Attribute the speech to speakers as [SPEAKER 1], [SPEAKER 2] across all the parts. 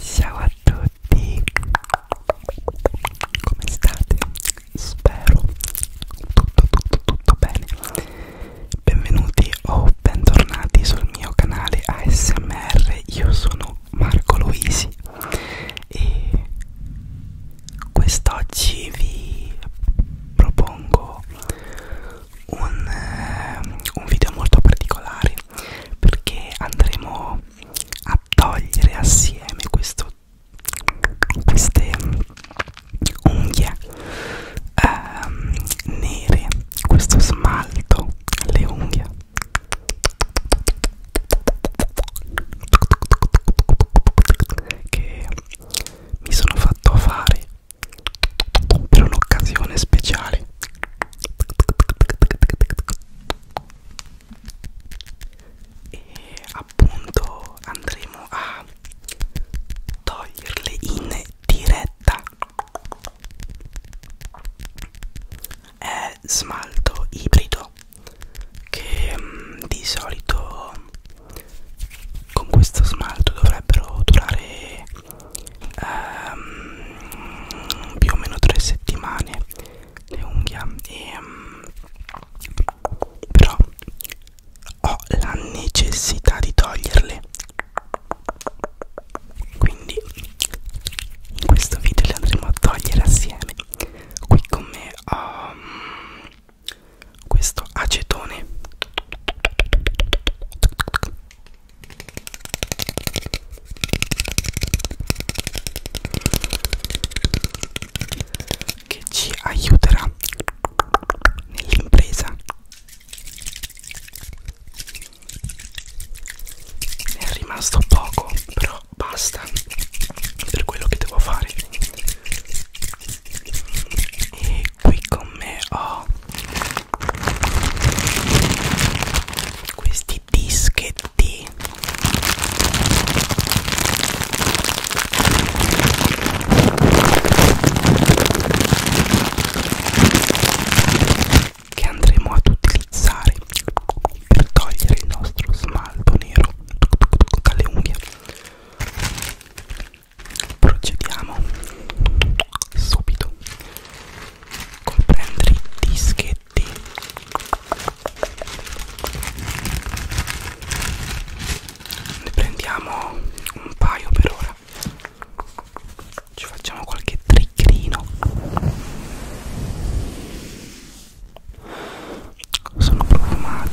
[SPEAKER 1] Ciao a tutti, come state? Spero tutto tutto tutto bene. Benvenuti o bentornati sul mio canale ASMR. Io sono Marco Luisi e quest'oggi vi propongo un, eh, un video molto particolare tutti perché andremo a togliere assieme questo, queste unghie ehm, nere, questo smalto alle unghie che mi sono fatto fare per un'occasione speciale e appunto andremo a toglierle in diretta è smalto ibrido che mh, mm, di solito con questo smalto dovrebbero durare ehm, più o meno tre settimane le unghie e um, però ho la necessità di toglierle quindi in questo video le andremo a togliere assieme qui con me ho um, questo acetone che ci aiuterà nell'impresa ne è rimasto poco però basta per quello che devo fare e qui con me ho questi dischetti che andremo ad utilizzare per togliere il nostro smalto nero dalle unghie procediamo subito comprendere i dischetti ne prendiamo un paio per ora ci facciamo qualche tricchino sono profumati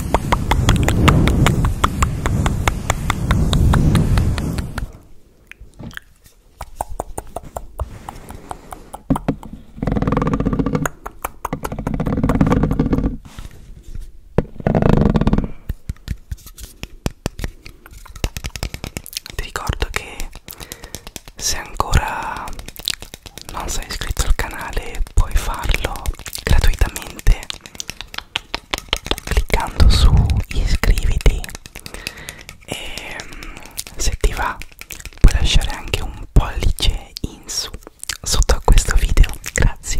[SPEAKER 1] Ti ricordo che se ancora non sei iscritto al canale puoi farlo gratuitamente cliccando su iscriviti e mm, se ti va puoi lasciare anche un pollice in su sotto a questo video grazie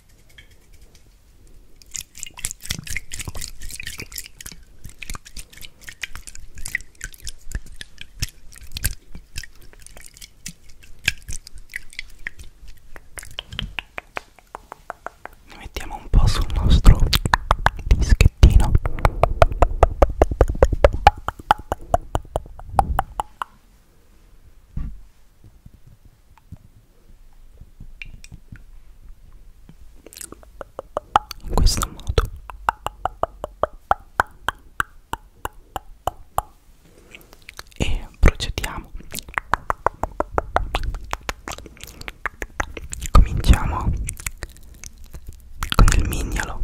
[SPEAKER 1] Ne mettiamo un po' sul nostro dischettino in questo modo e procediamo cominciamo con il mignolo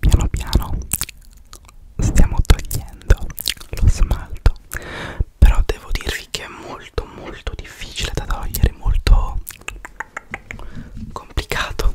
[SPEAKER 1] Piano piano stiamo togliendo lo smalto, però devo dirvi che è molto molto difficile da togliere, molto complicato.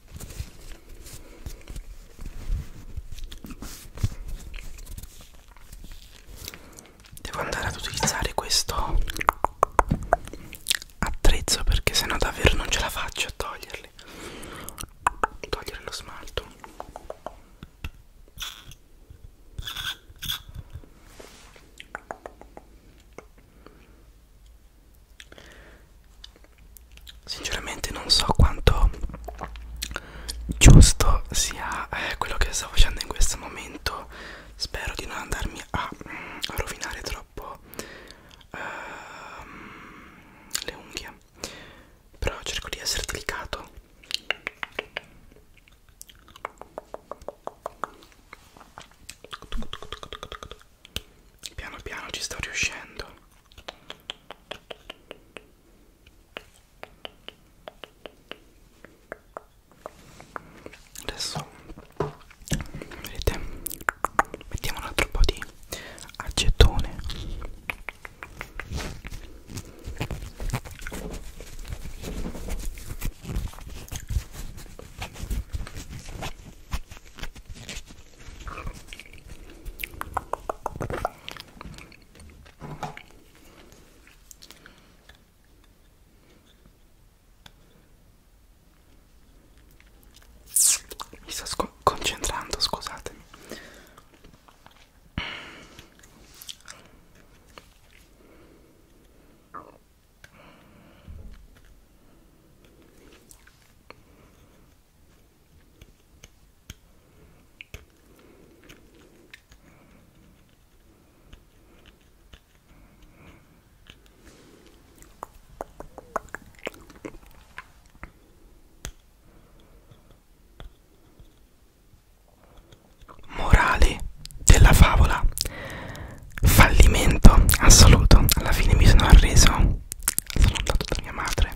[SPEAKER 1] Devo andare ad utilizzare questo attrezzo perché sennò davvero non ce la faccio a toglierli. Togliere lo smalto. Sinceramente non so quanto giusto sia eh, quello che sto facendo in questo momento Spero di non andarmi a, a rovinare troppo uh, le unghie Però cerco di essere delicato Piano piano ci sto riuscendo. Adesso vedete mettiamo un altro po' di acetone. Mi sto concentrando, scusatemi. Morale della favola fallimento assoluto alla fine mi sono arreso sono andato da mia madre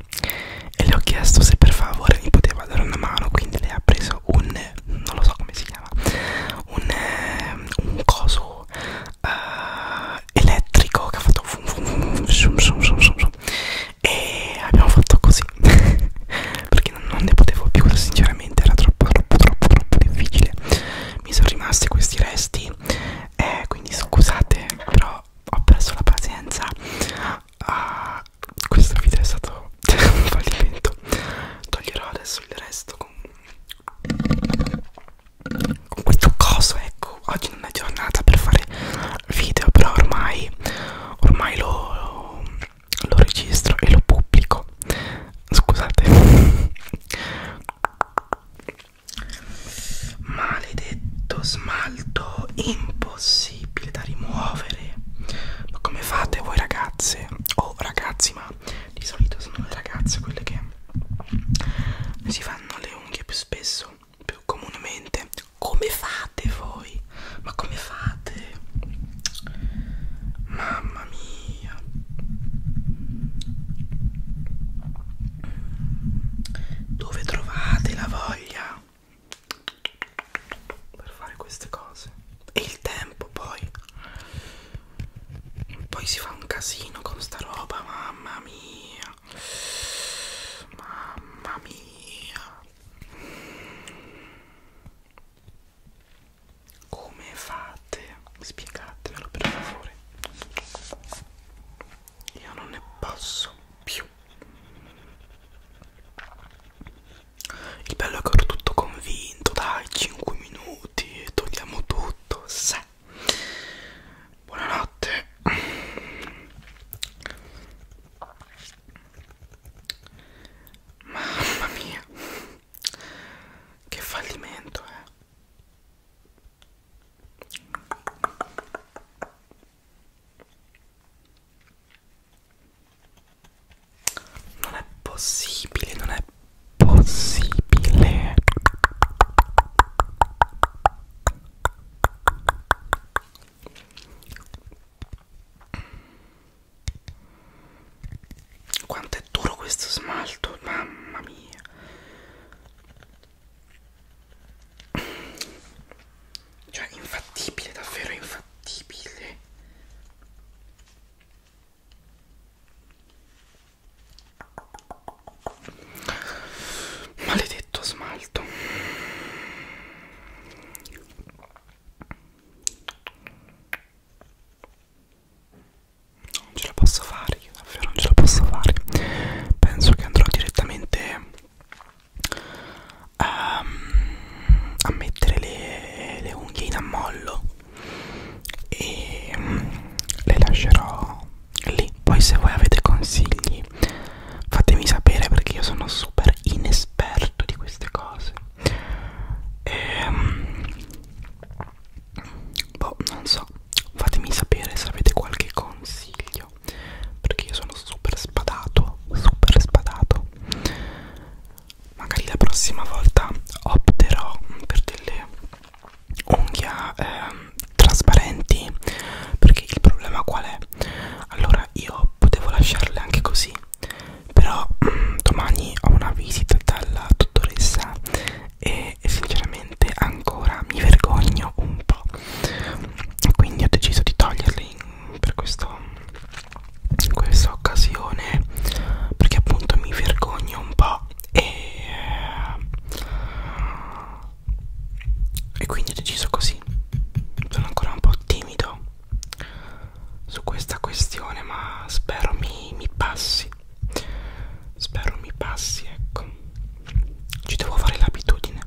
[SPEAKER 1] e le ho chiesto se per favore mi poteva dare una mano quindi lei ha preso un non lo so come si chiama un, eh, un coso uh, elettrico che ha fatto fum fum fum shum shum shum shum shum. e abbiamo fatto così perché non, non ne potevo più sinceramente era troppo troppo troppo troppo difficile mi sono rimasti questi resti eh, quindi scusate però ho perso la pazienza ah, questo video è stato un fallimento toglierò adesso il resto con, con questo coso ecco oggi non è giornata per fare video però ormai ormai lo, lo, lo registro e lo pubblico scusate Maledetto smalto impossibile da rimuovere. Ma come fate voi ragazze? Oh ragazzi, ma di solito sono le ragazze quelle che si fanno le unghie più spesso, più comunemente. Come fate voi? Ma come fate? Mamma mia mia dove trovate la voglia per fare queste cose e il tempo poi poi si fa un casino con sta roba mamma mia mamma mia come fate? Spiegatemelo per favore. Io non ne posso più. Il bello è che ero tutto convinto, dai, 5 minuti e togliamo tutto. Se. Buonanotte. Mamma mia. Che fallimento, eh. Non è possibile, non è possibile. Quanto è duro questo smalto, mamma mia. Cioè, infattibile, davvero infattibile. Maledetto smalto non ce la posso fare io davvero non ce la posso fare penso che andrò direttamente a, ehm, a mettere le, le unghie in ammollo e mm, le lascerò lì poi se voi avete consigli fatemi sapere perché io sono super inesperto di queste cose e, ehm, boh non so fatemi sapere se avete qualche consiglio perché io sono super spadato super spadato magari la prossima volta opterò per delle unghie eh, trasparenti perché il problema qual è allora io potevo lasciarle anche così però domani ho una visita dalla dottoressa vita e sinceramente ancora mi vergogno un po' quindi ho deciso di toglierli per questo, questa occasione perché appunto mi vergogno un po' e, e quindi ho deciso così sono ancora un po' timido su questa questione ma spero mi, mi passi Spero mi passi, ecco. Ci devo fare l'abitudine.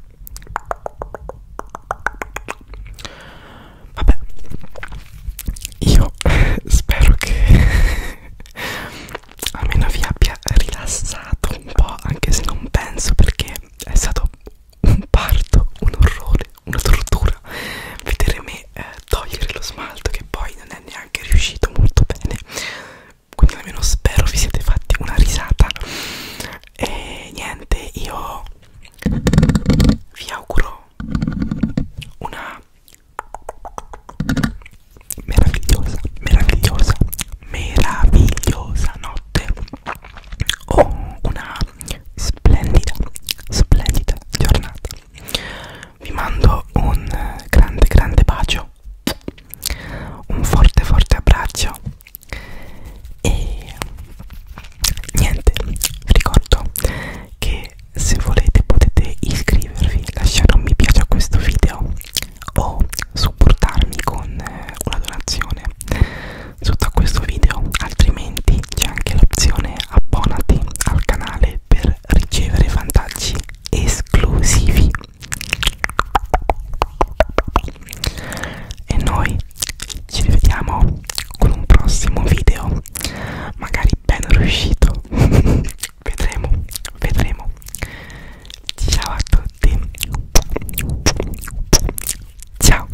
[SPEAKER 1] Vabbè, io spero che almeno vi abbia rilassato un po', anche se non penso perché è stato un parto, un orrore, una tortura vedere me e eh, togliere lo smalto che poi non è neanche riuscito molto bene quindi almeno spero vi siete fatti una risata e niente io vi auguro una meravigliosa meravigliosa meravigliosa notte o una splendida splendida giornata vi mando un grande grande bacio un forte forte abbraccio e niente vi ricordo che se volete potete iscrivervi lasciare un mi piace a questo video o supportarmi con eh, una donazione sotto a questo video altrimenti c'è anche l'opzione abbonati al canale per ricevere vantaggi esclusivi e noi ci rivediamo con un prossimo video magari ben riuscito vedremo vedremo ciao a tutti ciao